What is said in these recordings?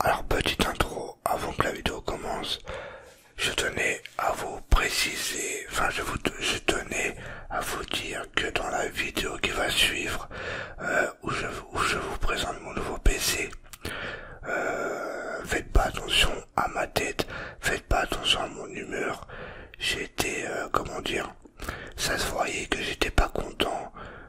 Alors petite intro, avant que la vidéo commence, je tenais à vous préciser, enfin je, tenais à vous dire que dans la vidéo qui va suivre, euh, où, je, vous présente mon nouveau PC, euh, faites pas attention à ma tête, faites pas attention à mon humeur, j'étais, euh, comment dire, ça se voyait que j'étais pas content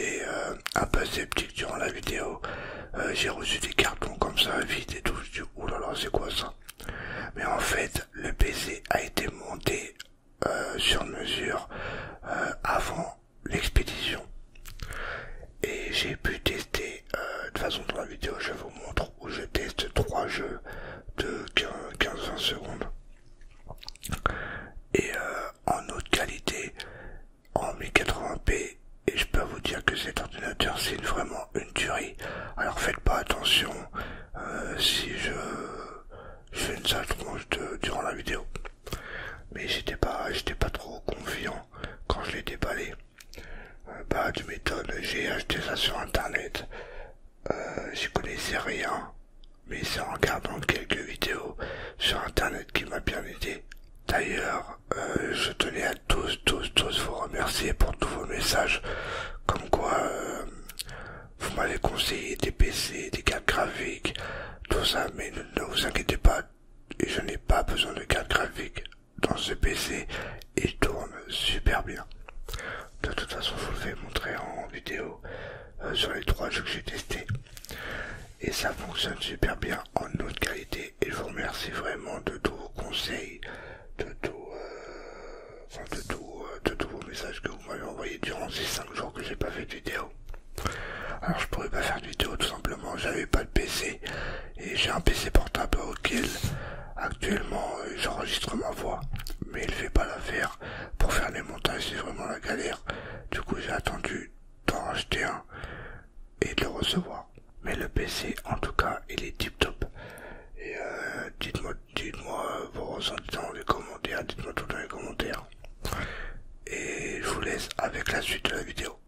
euh, un peu sceptique durant la vidéo. Euh, j'ai reçu des cartons comme ça, vides et tout. Je dit oulala, c'est quoi ça Mais en fait, le PC a été monté euh, sur mesure avant l'expédition et j'ai pu tester de façon dans la vidéo je vous montre où je teste trois jeux de 15-20 secondes et en haute qualité en 1080p et je peux vous dire que cet ordinateur c'est vraiment une tuerie. Alors faites pas attention euh, si je, fais une sale de, durant la vidéo. Mais j'étais pas j'étais pas trop confiant quand je l'ai déballé. Euh, bah tu m'étonnes, j'ai acheté ça sur internet. Euh, J'y connaissais rien. Mais c'est en regardant quelques vidéos sur internet qui m'a bien aidé D'ailleurs, euh, je tenais à tous, tous, tous vous remercier pour tous vos messages, comme quoi euh, vous m'avez conseillé des PC, des cartes graphiques, tout ça, mais ne, vous inquiétez pas, je n'ai pas besoin de cartes graphique dans ce PC, il tourne super bien. De toute façon, je vous le fais montrer en vidéo euh, sur les trois jeux que j'ai testés et ça fonctionne super bien en haute qualité et je vous remercie vraiment de tous vos conseils, de tout, euh, euh, de, tous vos messages que vous m'avez envoyés durant ces 5 jours que j'ai pas fait de vidéo. Alors je pourrais pas faire de vidéo tout simplement, j'avais pas de PC et j'ai un PC portable auquel actuellement euh, j'enregistre ma voix mais il fait pas l'affaire pour faire les montages c'est vraiment la galère du coup j'ai attendu d'en acheter un et de le recevoir. Mais le PC, en tout cas, il est tip top. Et euh, dites-moi dites vos ressentis dans les commentaires, dites-moi tout dans les commentaires. Et je vous laisse avec la suite de la vidéo.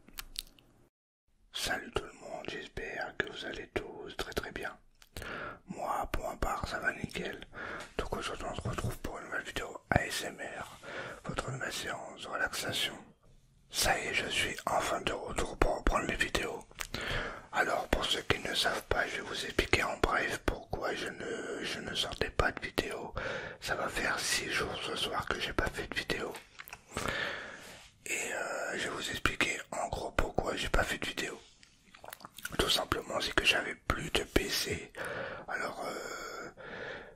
Salut tout le monde, j'espère que vous allez tous très très bien. Moi, pour ma part, ça va nickel. Donc aujourd'hui, on se retrouve pour une nouvelle vidéo ASMR, votre ma séance relaxation. Ça y est, je suis enfin de retour pour reprendre les vidéos. Alors, pour ceux qui ne savent pas, je vais vous expliquer en bref pourquoi je ne, je ne sortais pas de vidéo. Ça va faire six jours ce soir que j'ai pas fait de vidéo. Et euh, je vais vous expliquer en gros pourquoi j'ai pas fait de vidéo. Tout simplement, c'est que j'avais plus de PC. Alors, euh,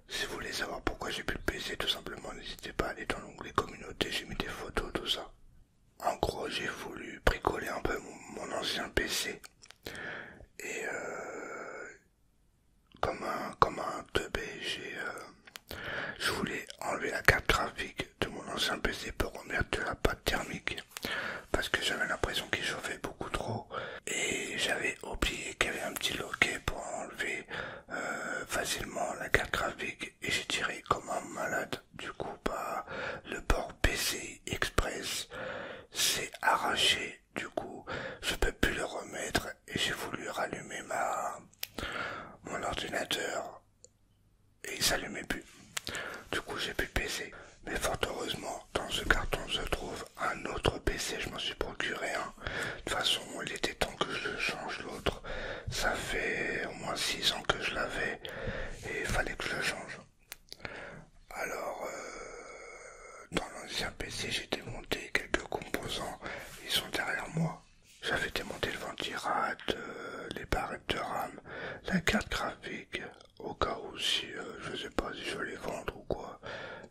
si vous voulez savoir pourquoi j'ai plus de PC, tout simplement, n'hésitez pas à aller dans l'onglet communauté, j'ai mis des photos, tout ça. En gros, j'ai voulu bricoler un peu mon, ancien PC. Et euh, comme un comme un 2B, j'ai euh, je voulais enlever la carte graphique de mon ancien PC pour remettre de la pâte thermique parce que j'avais l'impression qu'il chauffait beaucoup trop et j'avais oublié qu'il y avait un petit loquet pour enlever euh, facilement la carte graphique et j'ai tiré comme un malade du coup bah, le port PC Express s'est arraché du coup je peux plus le remettre et j'ai voulu rallumer ma mon ordinateur et il s'allumait plus du coup j'ai pu PC mais fort heureusement dans ce carton se trouve un autre PC, je m'en suis procuré un. De toute façon, il était temps que je change l'autre. Ça fait au moins 6 ans que je l'avais et il fallait que je le change. Alors, euh, dans l'ancien PC, j'ai démonté quelques composants. Ils sont derrière moi. J'avais démonté le ventirad, euh, les barrettes de RAM, la carte graphique, au cas où si euh, je sais pas si je vais les vendre ou quoi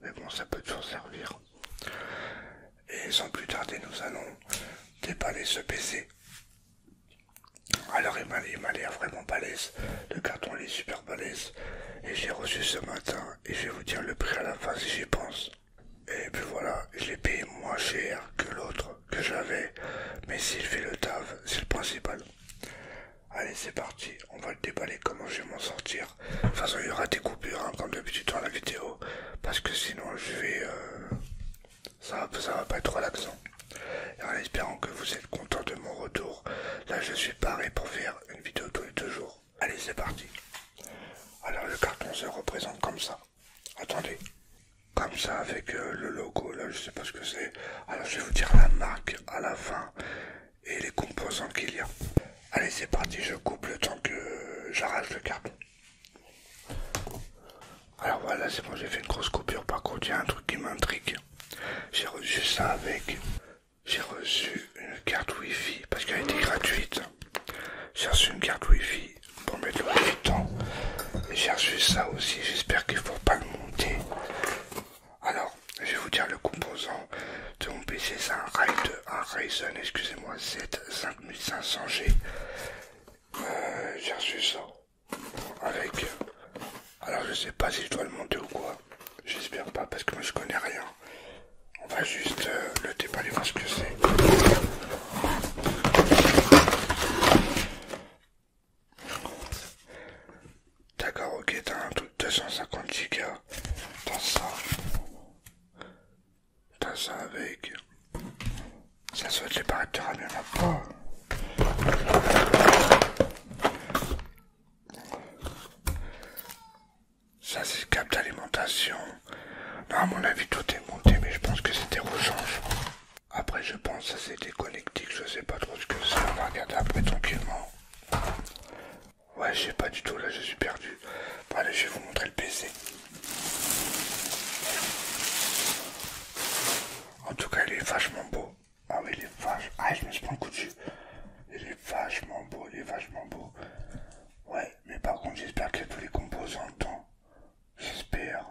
mais bon ça peut toujours servir et sans plus tarder nous allons déballer ce PC alors il m'a l'air vraiment balèze le carton les est super balèze et j'ai reçu ce matin et je vais vous dire le prix à la fin si j'y pense et puis voilà je l'ai payé moins cher que l'autre que j'avais mais s'il fait le taf c'est le principal Allez, c'est parti, on va le déballer comment je vais m'en sortir. Enfin il y aura des coupures, hein, comme d'habitude dans la vidéo, parce que sinon, je vais. Euh, ça, va, ça va pas être relaxant. Et en espérant que vous êtes content de mon retour, là, je suis paré pour faire une vidéo tous les deux jours. Allez, c'est parti. Alors, le carton se représente comme ça. Attendez, comme ça, avec euh, le logo, là, je sais pas ce que c'est. Alors, je vais vous dire la marque à la fin et les composants qu'il y a. Allez, c'est parti, je coupe le temps que j'arrache le carton. Alors voilà, c'est bon, j'ai fait une grosse coupure. Par contre, il y a un truc qui m'intrigue. J'ai reçu ça avec. J'ai reçu une carte Wi-Fi parce qu'elle était gratuite. J'ai reçu une carte Wi-Fi pour mettre le temps. j'ai reçu ça aussi. J'espère qu'il ne faut pas le monter. Alors, je vais vous dire le composant de mon PC, c'est un, un Ryzen, excusez-moi, 7 5500G. Euh, j'ai reçu ça avec. Alors, je sais pas si je dois le monter ou quoi. J'espère pas parce que moi je connais rien. On va juste euh, le déballer voir ce que c'est. D'accord, ok, t'as un truc de 250 gigas. T'as ça. T'as ça avec. Ça se fait l'éparateur, il pas. Ça c'est cap d'alimentation. Non à mon avis tout est monté mais je pense que c'était rechange. Après j'ai je pense que c'est des je sais pas trop ce que c'est, on va regarder après tranquillement. Ouais, j'ai pas du tout, là je suis perdu. allez, je vais vous montrer le PC. En tout cas, il est vachement beau. Ah oui, il est Ah, je me suis pris un coup dessus. Il est vachement beau, il est vachement beau. Ouais, mais par contre, j'espère que y a tous les composants J'espère.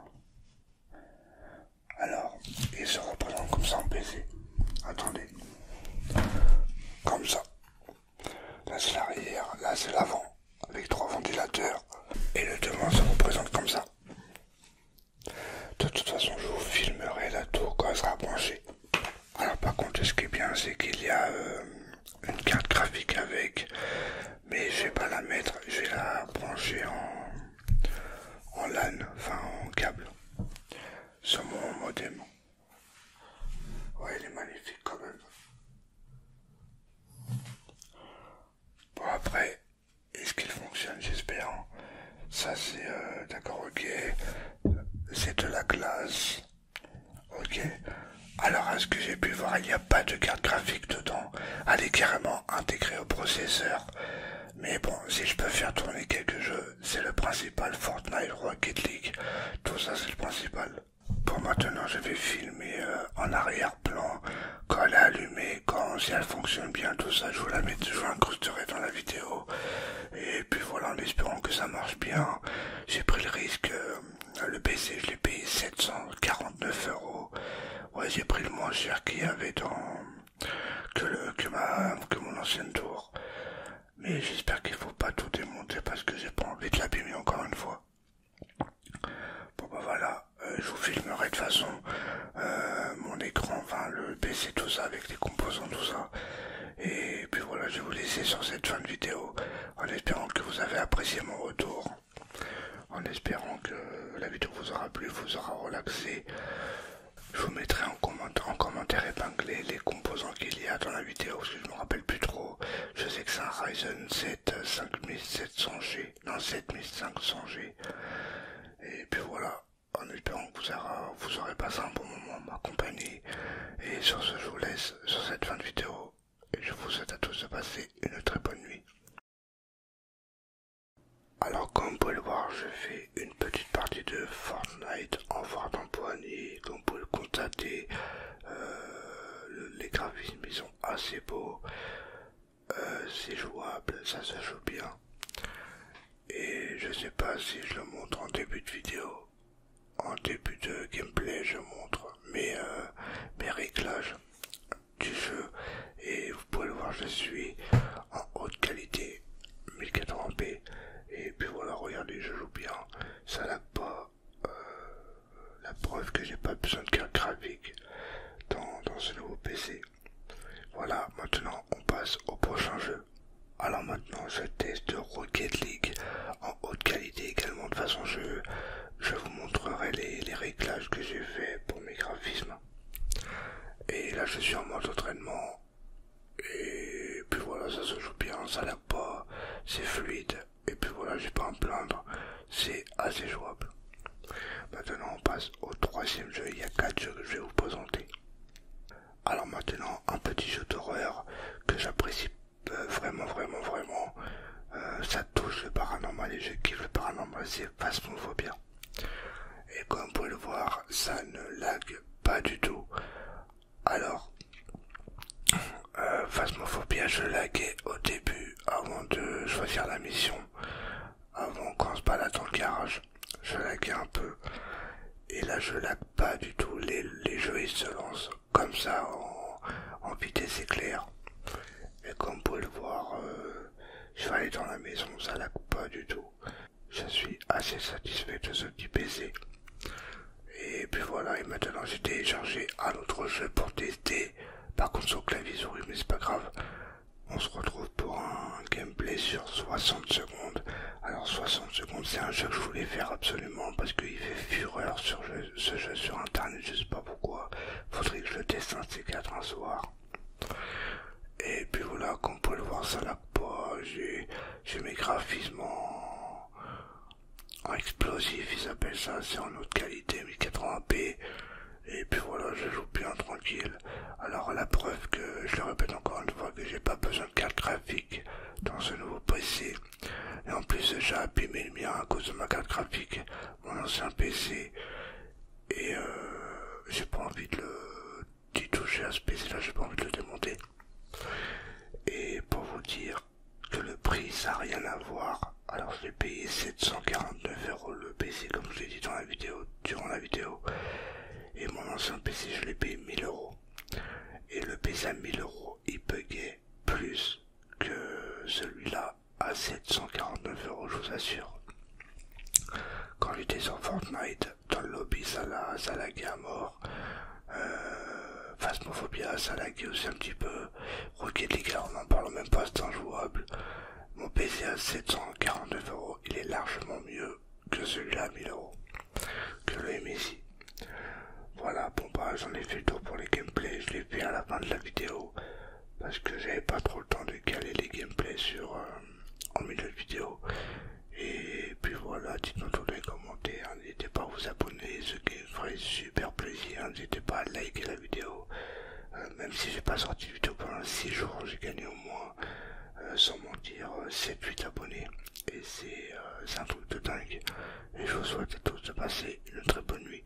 Alors, il se représente comme ça en PC. Attendez. Comme ça. Là c'est l'arrière, là c'est l'avant, avec trois ventilateurs. Et le devant se représente comme ça. De toute façon, je vous filmerai la tour quand elle sera branchée. Alors par contre, ce qui est bien, c'est qu'il y a euh, une carte graphique avec, mais je vais pas la mettre, je vais la brancher en en LAN, enfin en câble, sur mon modem. Ouais, il est magnifique quand même. Bon après, est-ce qu'il fonctionne J'espère. Hein. Ça c'est euh, d'accord, ok. C'est de la classe, Ok. Alors est ce que j'ai pu voir, il n'y a pas de carte graphique dedans. Elle est carrément intégrée au processeur. Mais bon, si je peux faire tourner quelques jeux, c'est le principal Fortnite Rocket League. Tout ça, c'est le principal. Pour maintenant, je vais filmer euh, en arrière-plan quand elle est allumée, quand si elle fonctionne bien, tout ça, je vous la mets, je vous incrusterai dans la vidéo. Et puis voilà, en espérant que ça marche bien, j'ai pris le risque. Euh, le PC, je l'ai payé 749 euros. Ouais, j'ai pris le moins cher qu'il y avait dans que, le, que, que mon ancienne tour. Mais j'espère qu'il ne faut pas tout démonter parce que j'ai pas envie de l'abîmer encore une fois. Bon bah voilà, euh, je vous filmerai de façon euh, mon écran, enfin le PC, tout ça, avec les composants, tout ça. Et puis voilà, je vais vous laisser sur cette fin de vidéo en espérant que vous avez apprécié mon retour, en espérant que la vidéo vous aura plu, vous aura relaxé, je vous mettrai en, commentaire épinglé les composants qu'il y a dans la vidéo, je ne me rappelle plus trop. Je sais que c'est un Ryzen 7 5700G, euh, non 7500G. Et puis voilà, en espérant que vous aurez, passé un bon moment à m'accompagner, Et sur ce, je vous laisse sur cette fin de vidéo. Et je vous souhaite à tous de passer une très bonne nuit. Alors comme vous pouvez le voir, je fais une petite partie de Fortnite en forte d'empoignée, Comme vous pouvez le constater, euh, les graphismes sont assez beaux. Euh, c'est jouable, ça se joue bien. Et je sais pas si je le montre en début de vidéo. En début de gameplay je montre mes, euh, mes réglages du jeu et vous pouvez le voir je suis en haute qualité 1080p et puis voilà regardez je joue bien ça n'a pas euh, la preuve que j'ai pas besoin de carte graphique dans, ce nouveau pc voilà maintenant on passe au prochain jeu alors maintenant je teste Rocket League en haute qualité également de façon je je vous montrerai les, les réglages que j'ai fait pour mes graphismes et là, je suis en mode entraînement. Et puis voilà, ça se joue bien, ça n'a pas, c'est fluide. Et puis voilà, j'ai pas à me plaindre, c'est assez jouable. Maintenant, on passe au troisième jeu. Il y a quatre jeux que je vais vous présenter. Alors maintenant, un petit jeu d'horreur que j'apprécie euh, vraiment, vraiment, vraiment. Euh, ça touche le paranormal et je kiffe le paranormal, c'est voit bien. Et comme vous pouvez le voir, ça ne lag pas du tout. Alors, euh, Phasmophobia, je laguais au début avant de choisir la mission. Avant qu'on se balade dans le garage, je laguais un peu. Et là, je lague pas du tout. Les, jeux, ils se lancent comme ça en, vitesse éclair. Et comme vous pouvez le voir, euh, je vais aller dans la maison, ça la coupe pas du tout. Je suis assez satisfait de ce petit PC. Et puis voilà, et maintenant j'ai téléchargé un autre jeu pour tester. Par contre sur clavier mais c'est pas grave. On se retrouve pour un gameplay sur 60 secondes. Alors 60 secondes, c'est un jeu que je voulais faire absolument parce qu'il fait fureur sur ce jeu sur internet, je sais pas pourquoi. Faudrait que je teste un C4 un soir. Et puis voilà, comme vous pouvez le voir, ça la pas, J'ai mes graphismes en, explosif, ils appellent ça, c'est en haute qualité, 1080p. Et puis voilà, je joue bien tranquille. Alors la preuve que je le répète encore une fois que j'ai pas besoin de carte graphique dans ce nouveau PC. Et en plus j'ai abîmé le mien à cause de ma carte graphique mon ancien PC et euh, j'ai pas envie de le toucher à ce PC là, j'ai pas envie de le démonter. Et pour vous dire que le prix ça n'a rien à voir, alors l'ai payé 749 euros le PC comme je l'ai dit dans la vidéo, durant la vidéo, et mon ancien PC je l'ai payé 1000 euros. Et le PC à 1000 euros il buguait plus que celui-là à 749 euros, je vous assure. Quand j'étais sur Fortnite, dans le lobby, ça laguait à mort. Euh, Phasmophobia, ça laguait aussi un petit peu. Rocket League, on en parle même pas, c'est injouable. Mon PC à 749 euros, il est largement mieux que celui-là à 1000 euros, que le MSI. Voilà, bon bah j'en ai fait le tour pour les gameplay, je l'ai fait à la fin de la vidéo parce que j'avais pas trop le temps de caler les gameplays sur euh, en milieu de vidéo et puis voilà dites-nous tout dans les commentaires n'hésitez pas à vous abonner ce qui ferait super plaisir n'hésitez pas à liker la vidéo euh, même si j'ai pas sorti de vidéo pendant 6 jours j'ai gagné au moins euh, sans mentir 7-8 abonnés et c'est un truc de dingue et je vous souhaite à tous de passer une très bonne nuit